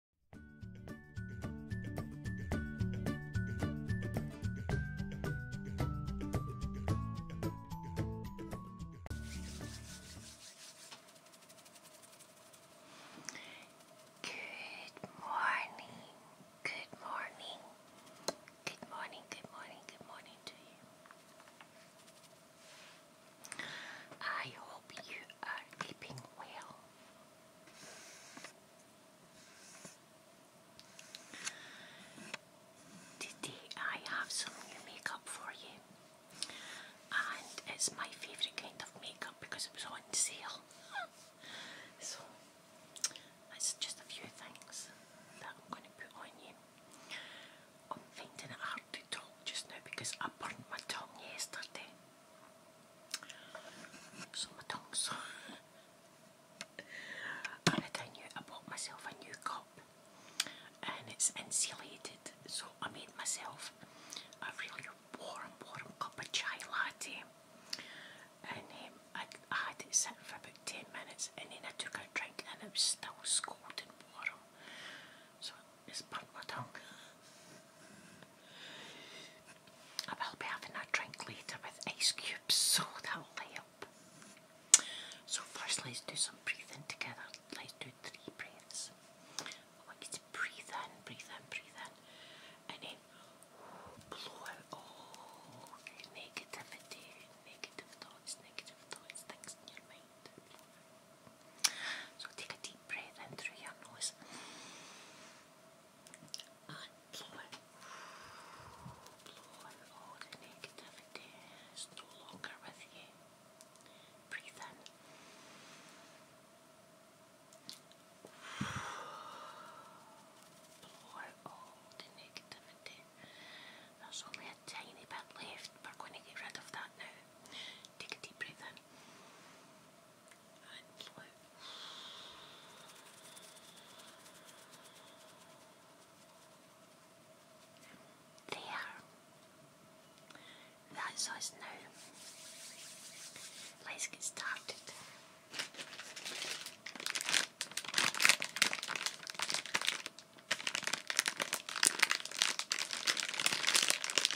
Good morning. Good morning. Good morning. Good morning. Good morning to you. I hope you are keeping well. Today I have some new makeup for you and it's my favourite kind of makeup because it was on sale. so it's just a few things that I'm going to put on you. I'm finding it hard to talk just now because I burnt my tongue yesterday. So my tongue's and I knew I bought myself a new cup and it's insulated so I made myself a really warm warm cup of chai latte and um, I, had it sitting for about 10 minutes and then I took a drink and it was still scalding warm so it's burnt my tongue. I will be having a drink later with ice cubes, so that'll help. So first let's do some breathing together. Let's do three breaths. I want you to breathe in, breathe in, breathe in. And then blow out all negativity, negative thoughts, negative thoughts, things in your mind. So take a deep deep in through your nose blow out all the negativity is no longer with you. Breathe in. Blow out all the negativity. There's only a tiny bit left. We're going to get rid of that now. Take a deep breath in there. That's us now. Let's get started.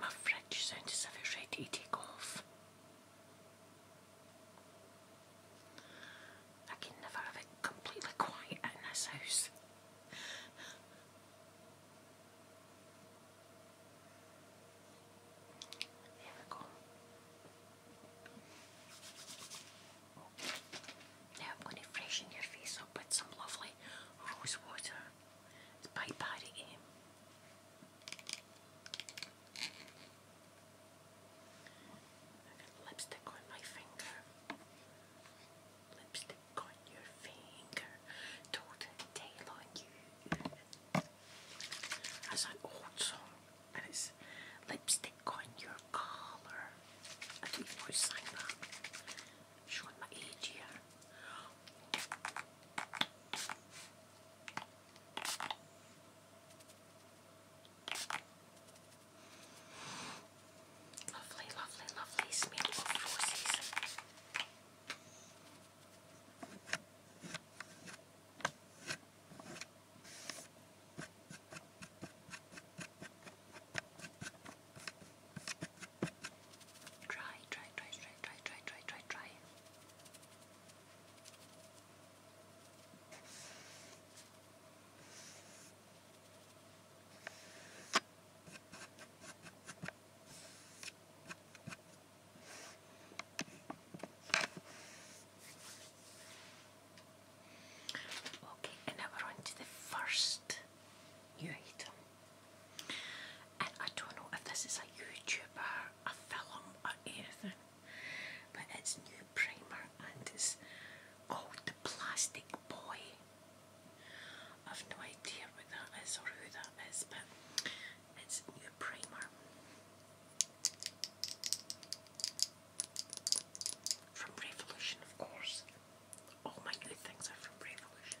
My fridge sounds as if it's ready to take off. I can never have it completely quiet in this house. There we go. Now I'm going to freshen your face up with some lovely rose water. It's Bite Party Game. lipstick on my finger. Lipstick on your finger. Total tail on you. That's an old song. And it's lipstick on your collar. I don't even know who sang that showing my age here. Lovely, lovely, lovely smell of roses. Try, try, try, try, try, try, try, try, try. Okay, and now we're on to the first new item. And I don't know if this is a YouTuber, a film, or anything, but it's new primer and it's called the Plastic Boy. I've no idea what that is or who that is, but it's new primer from Revolution, of course. All my new things are from Revolution.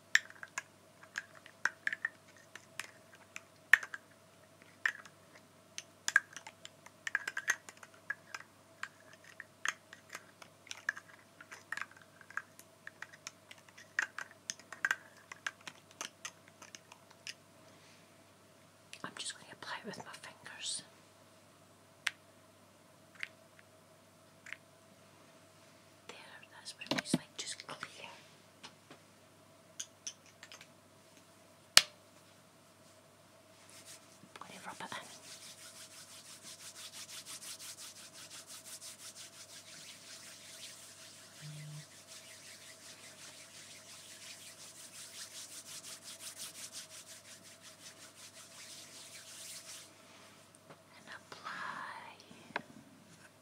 I'm just going to apply it with my fingers. There, that's when it's like just clear. i rub it And apply.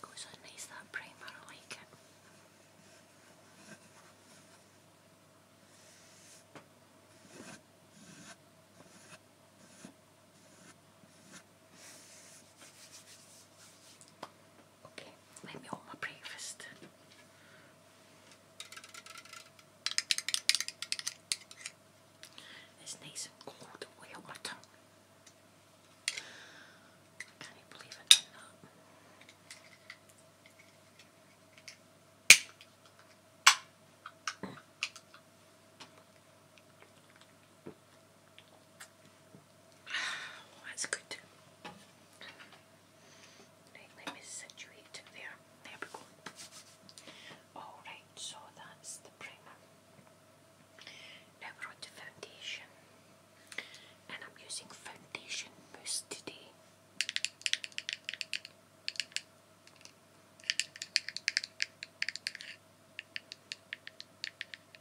Goes on nice that primer, like it. Okay, let me open my breakfast. It's nice and cold. Way my tongue. I can't believe I done that. that's good. let me situate it there. There we go. Alright, so that's the primer. Now we're on to foundation. And I'm using foundation mousse today.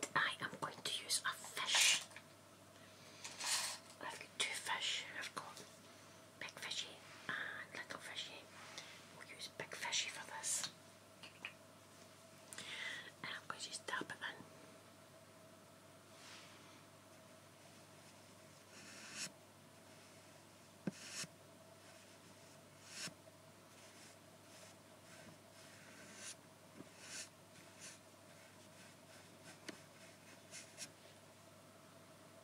And I am going to use a fish. I've got two fish. I've Big Fishy and Little Fishy. We'll use Big Fishy for this. And I'm going to just dab it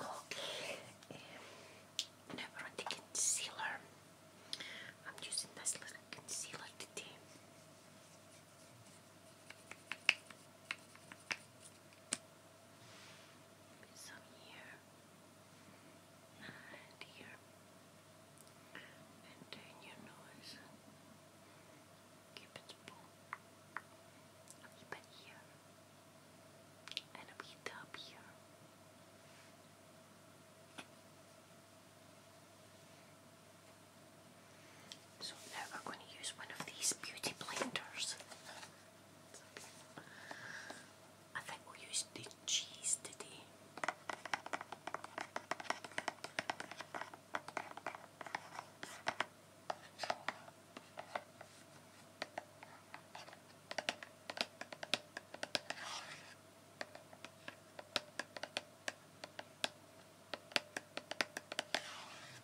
Okay, um, now the concealer. I'm using this little concealer today. Maybe some here and here. And your nose. A wee bit here. And a bit here. So now we're going to use one of these beauty blenders. I think we'll use the cheese today.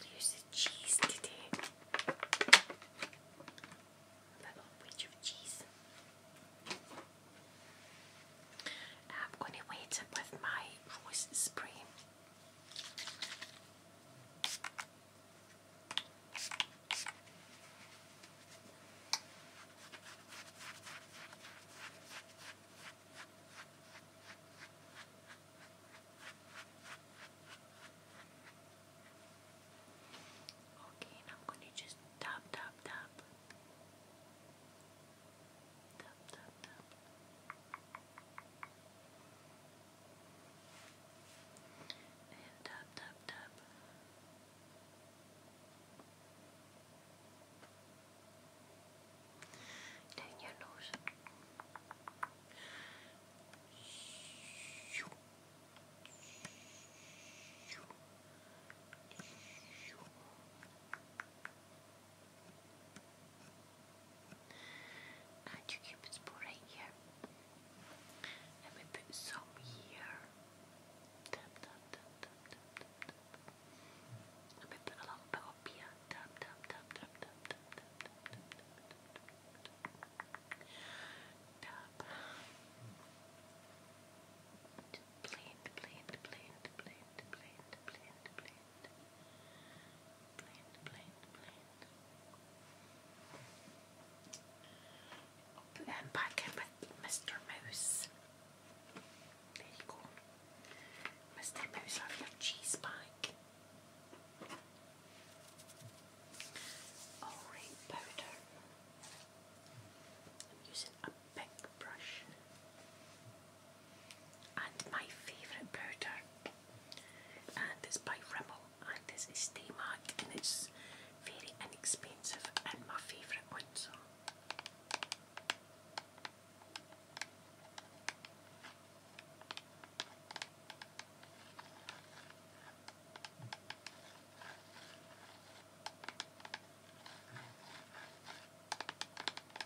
We'll use the cheese today. A little bit of cheese. I'm going to wet it with my voice spray. Okay, and I'm going to just tap, tap, tap. Tap, tap, tap. tap, tap, tap. Then your nose. And your cupid's bow right here. And we put some here. Tap, tap, put a little bit up here. Put them back in with Mr. Mouse. There you go. Mr. Mouse, have your cheese back. Alright, powder. I'm using pink brush. And my favourite powder, and it's by Rimmel, and this is Stay and it's very inexpensive and my favourite one.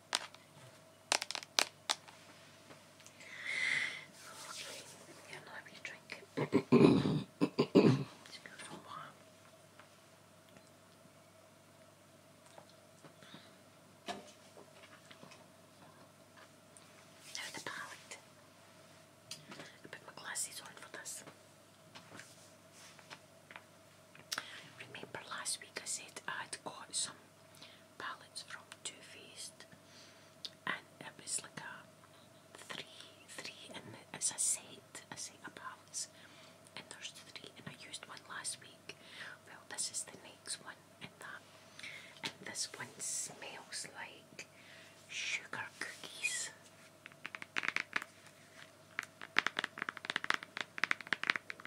Okay, yeah, I'll have your drink. it's good a while. Now the palette. I put my glasses on for this. Remember last week I said I'd got some palettes from Too Faced and it was like a three, three and it's a set, a set of palettes and there's three and I used one last week. Well this is the next one in that and this one smells like sugar cookies.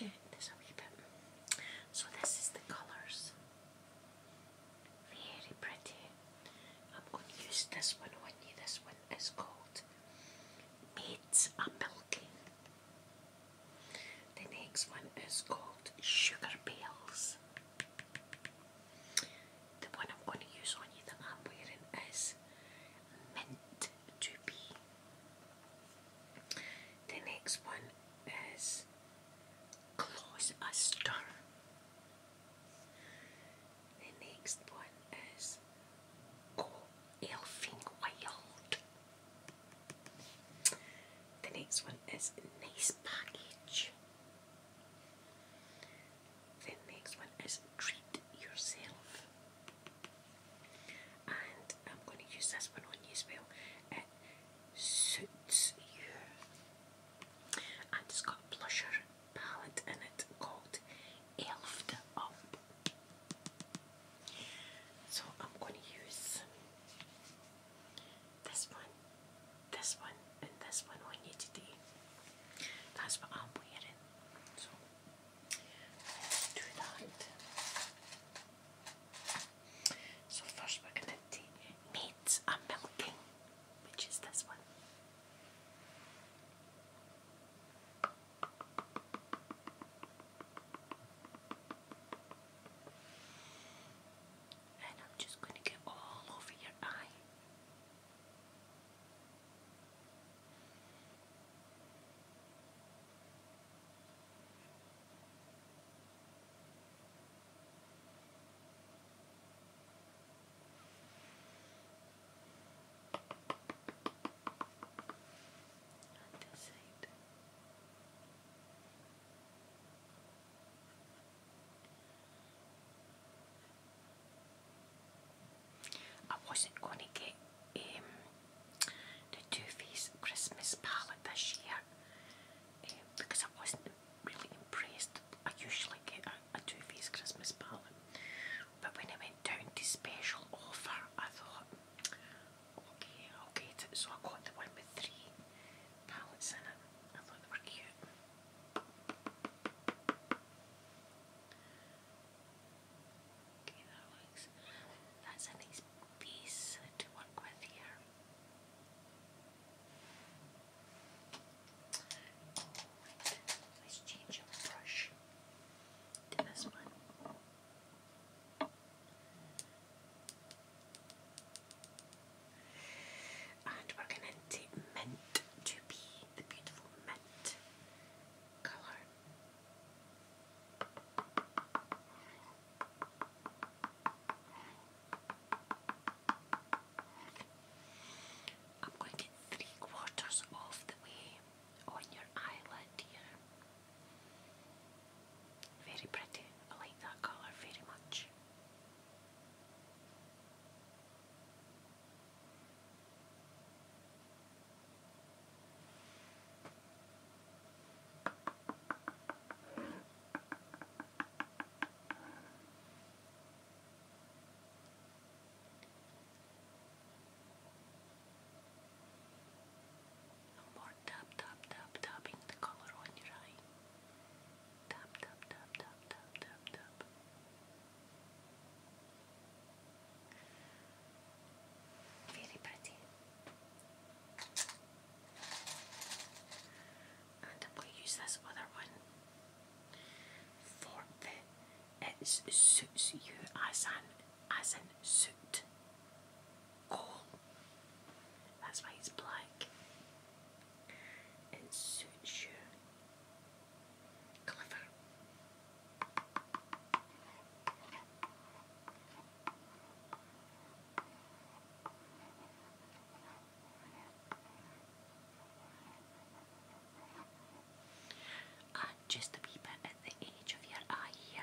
Yeah, there's a wee bit. So this is the colours. Very pretty. I'm going to use this one on you. This one is called Maids a Milking. The next one is called Sugar Bells. The one I'm going to use on you that I'm wearing is Mint to Be. The next one is Close a Stir. The next one is Go Elfing Wild. The next one is Nice Package. The next one is Treat Yourself. And I'm going to use this one on you as well. It suits you. And it's got a blusher palette in it called Elfed Up. So I'm going to use this one, this one, and this one on you today. That's what I'm wearing. So let's do that. So first we're going to take meat and milking, which is this one. And I'm just going to get all over your eye. I wasn't going to get um, the Too Faced Christmas palette this year um, because I wasn't really impressed. I usually get a, a Too Faced Christmas palette, but when I went down to special offer, I thought, Okay, i So I got the one with three pallets in it. I thought they were cute. Okay, that looks. That's a nice piece to work with here. let's change our brush this one. And we're going to mint to be the beautiful mint colour. I'm going to get three quarters of the way on your eyelid here. Very pretty. I like that colour very much. i more more tap tap tap the color on your eye. Tap tap tap tap tap tap tap. Very pretty. And i use this other one for the it suits you as an as an suit. That's why he's black. It suits you. Clever. And ah, just a wee bit at the edge of your eye here.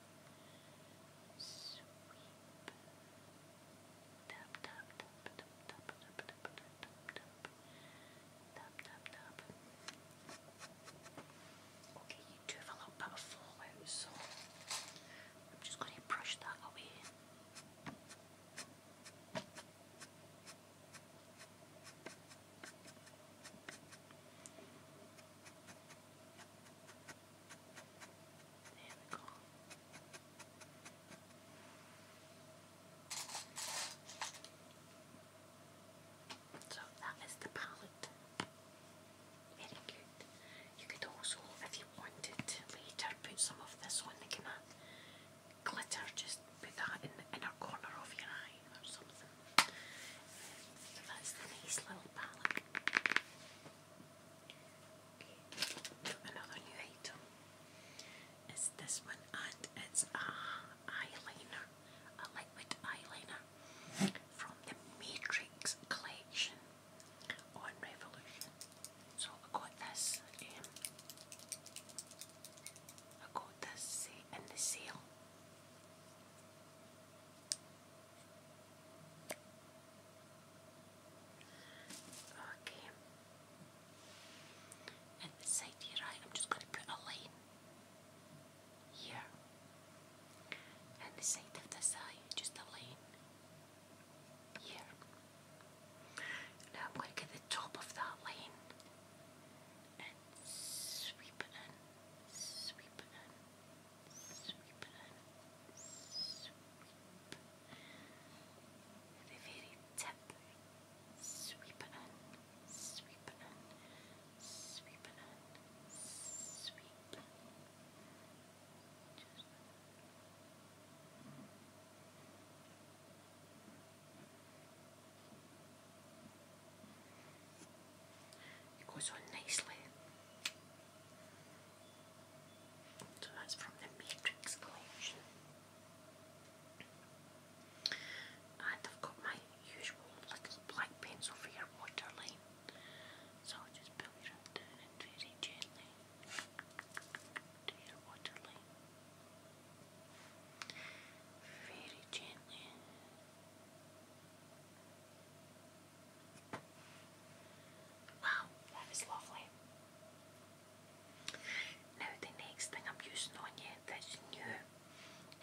Sweep. Okay, you do have a little of fallout, so I'm just going to brush that away. There So that is the palette. Very good. You could also, if you wanted later, put some of this on the glitter, just put that in the inner corner of your eye or something. So that's the nice little palette. Okay. Another new item is this one, and it's a eyeliner, a liquid eyeliner from the Matrix collection on Revolution. So I got this. Um, I got this uh, the sale. Okay. And the side to I'm just going to put a line here. And the side of this eye, just a line here. Now I'm going to the top of that line and sweep and sweep and sweep and sweep. The very tip. Sweep and sweep and sweep and sweep. Just and it goes on nicely. So that's from the Matrix collection. And I've got my usual little black pencil for your waterline. So I'll just pull it down very gently to your waterline. Very gently. Wow, that is lovely. Now the next thing I'm using on you new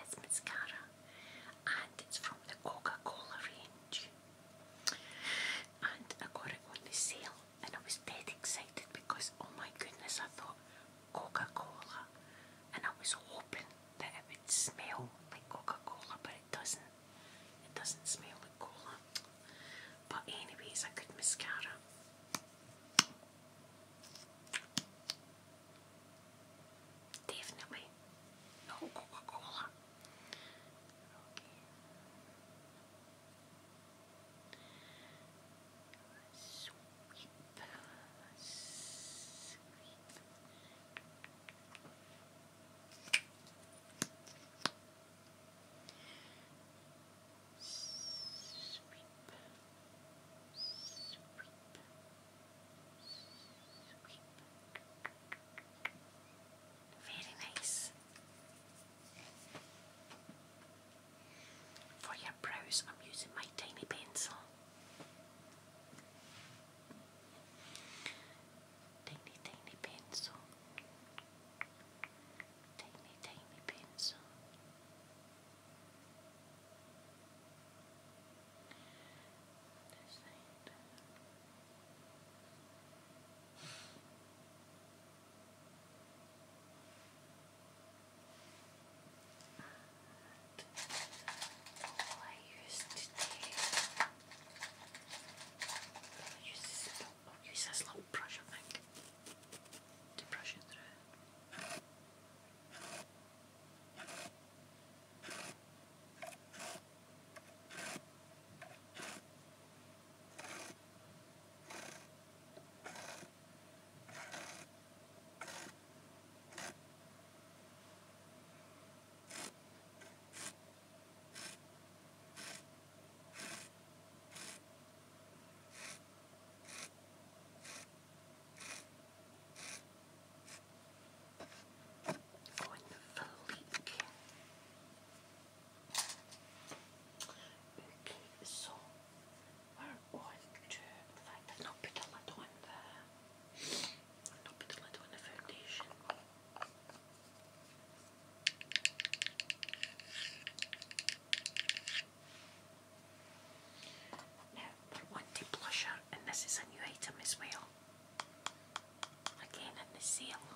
is mascara and it's from the Coca-Cola range. And I got it on the sale and I was dead excited because oh my goodness I thought Coca-Cola and I was hoping that it would smell like Coca-Cola, but it doesn't. It doesn't smell like cola. But anyways, a good mascara. Definitely. No Coca-Cola. Okay. Sweep. Sweep. Very nice. For your brows, I'm using my tiny pencil. Tiny, tiny pencil. Tiny, tiny pencil all I used today. I'll use this, I'll use this little brush, I think, to brush it through. Going to fleek. Okay, so we're on to, in fact I've not don't put the blusher, and this is a new item as well. Again in the sale.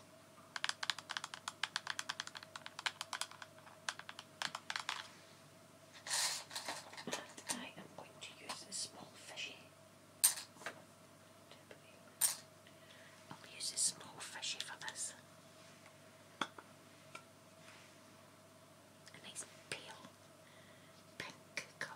I am going to use the small fishy I'll use this small fishy for this. nice pale pink colour.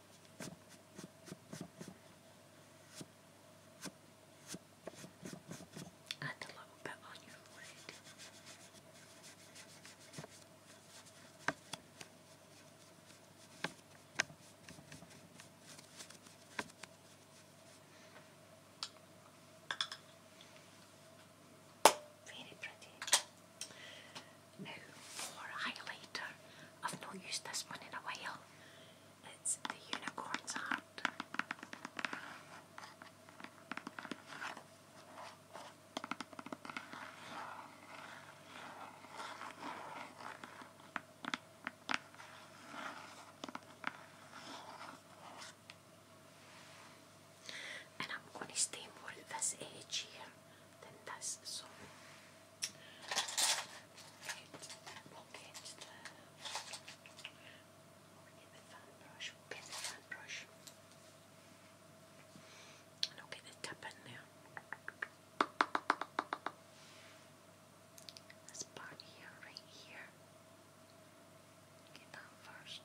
And a little bit on your lid. Very pretty. Now for highlighter, I've not used this one in a while. It's the unicorn's heart. And I'm going to stay more at this edge here than this, so Pocket, pocket there. We'll get the fan brush, we'll the fan brush. And i the tip in there. This part here, right here. Get that first.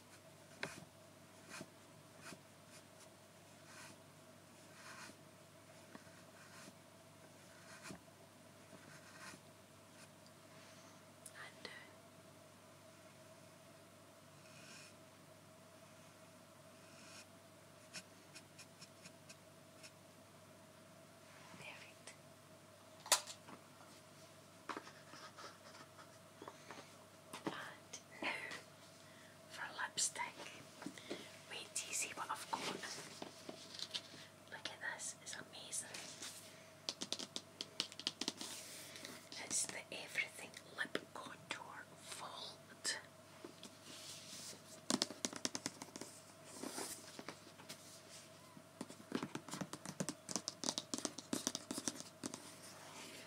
Undo. Perfect. And palette for lipstick. Wait till see what I've got. Look at this, it's amazing. It's the Everything Lip Contour Vault.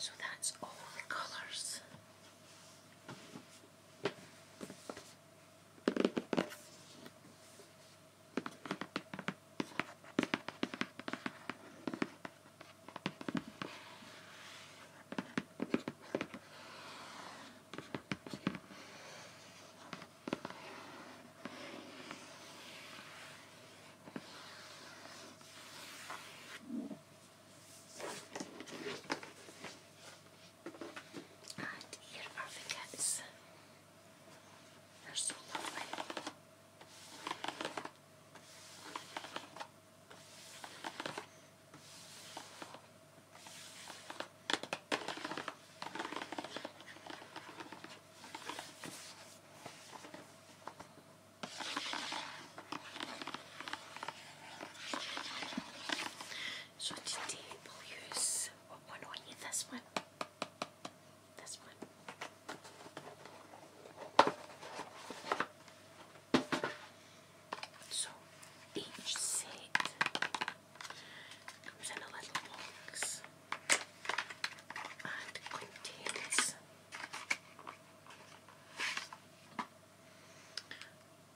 So that's all the colours. And here are the cats. They're so lovely. So today we'll use This one. This one. So each set comes in a little box and contains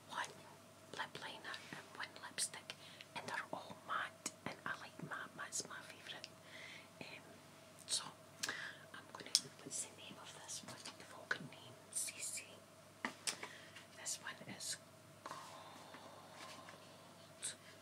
one lip liner and one lipstick and they're all matte and I like matte, matte's my favourite. Um, so I'm going to, what's the name of this one? The Vulcan name, This one is called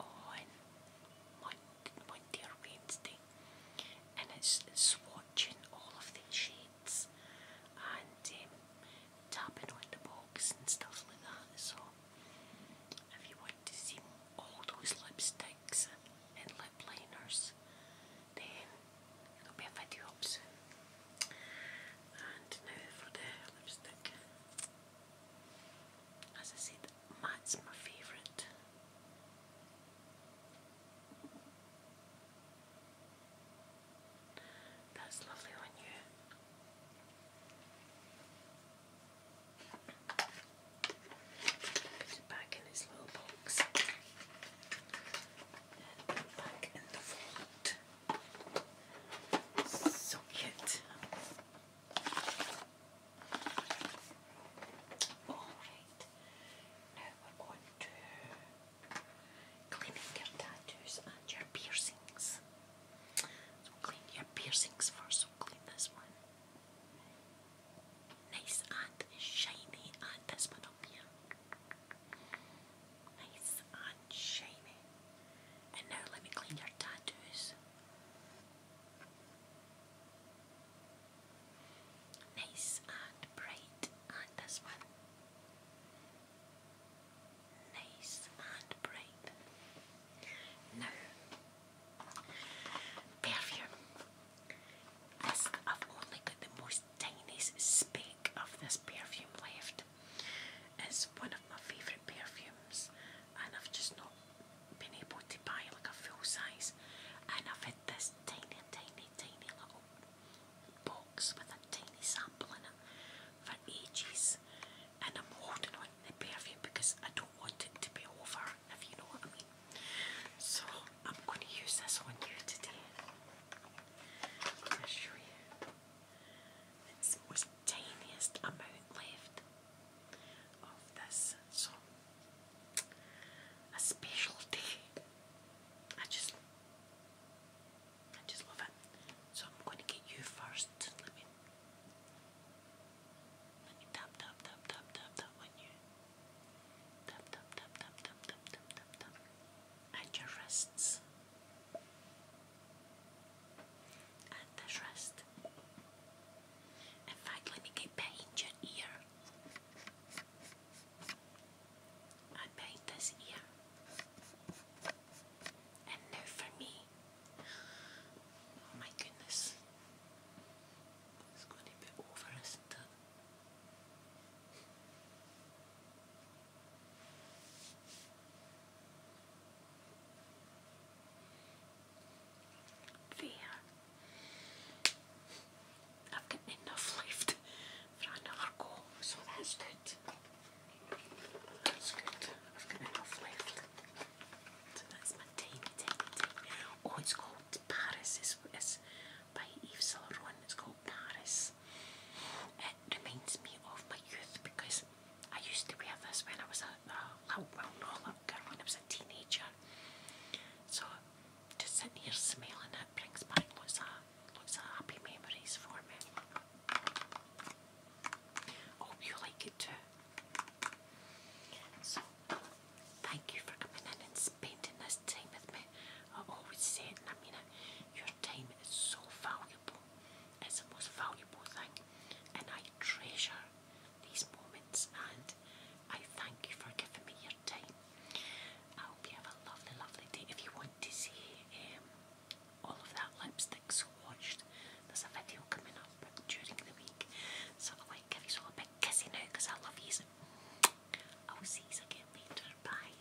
on Mon Monday or Wednesday and it's swatching all of the shades and um, tapping on the box and stuff like that so if you want to see all those lipsticks and lip liners then there'll be a video up soon and now for the lipstick. As I said, Matt's my favourite. That's lovely on you. Put it back in its little box put it back in the fold. So cute. Alright, now we're going to cleaning your tattoos and your piercings. So clean your piercings first, so clean this one. Nice and shiny, and this one up here. Nice and shiny. And now let me clean your tattoos. Nice and bright and this one. Nice and bright. Now, perfume. This, I've only got the most tiniest speck of this perfume left. It's one of my favourite perfumes, and I've just not been able to buy like a full size and I've had this tiny tiny tiny little box with a tiny sample in it for ages and I'm holding on to the perfume because I don't want it to be over if you know what I mean. So I'm going to use this on you today. I'm you. It's the tiniest amount left of this. So, a special I just, I just love it. So I'm going to get you first. Let me, let me tap tap tap tap tap tap on you. tap tap tap tap tap tap tap tap. And your wrists and the rest. In fact, let me get your ear. I paint this ear. And now for me. Oh my goodness. It's going to be over, isn't it? There. i enough left so that's good. That's good. I've got enough left. Oh, it's called Paris. it's by Yves Saint Laurent. It's called Paris. It reminds me of my youth because I used to wear this when I was a, uh, well, no, girl when I was a teenager. So just sitting here smelling it brings back lots of, lots of happy memories for me. Hope you like it too. So, thank you for coming in and spending this time with me. I always say it I mean it. Your time is so valuable is the most valuable thing, and I treasure these moments. And I thank you for giving me your time. I hope you have a lovely, lovely day. If you want to see um, all of that lipstick swatched, there's a video coming up during the week. So I might give you all a big kissy now I love you. I will see you again later. Bye.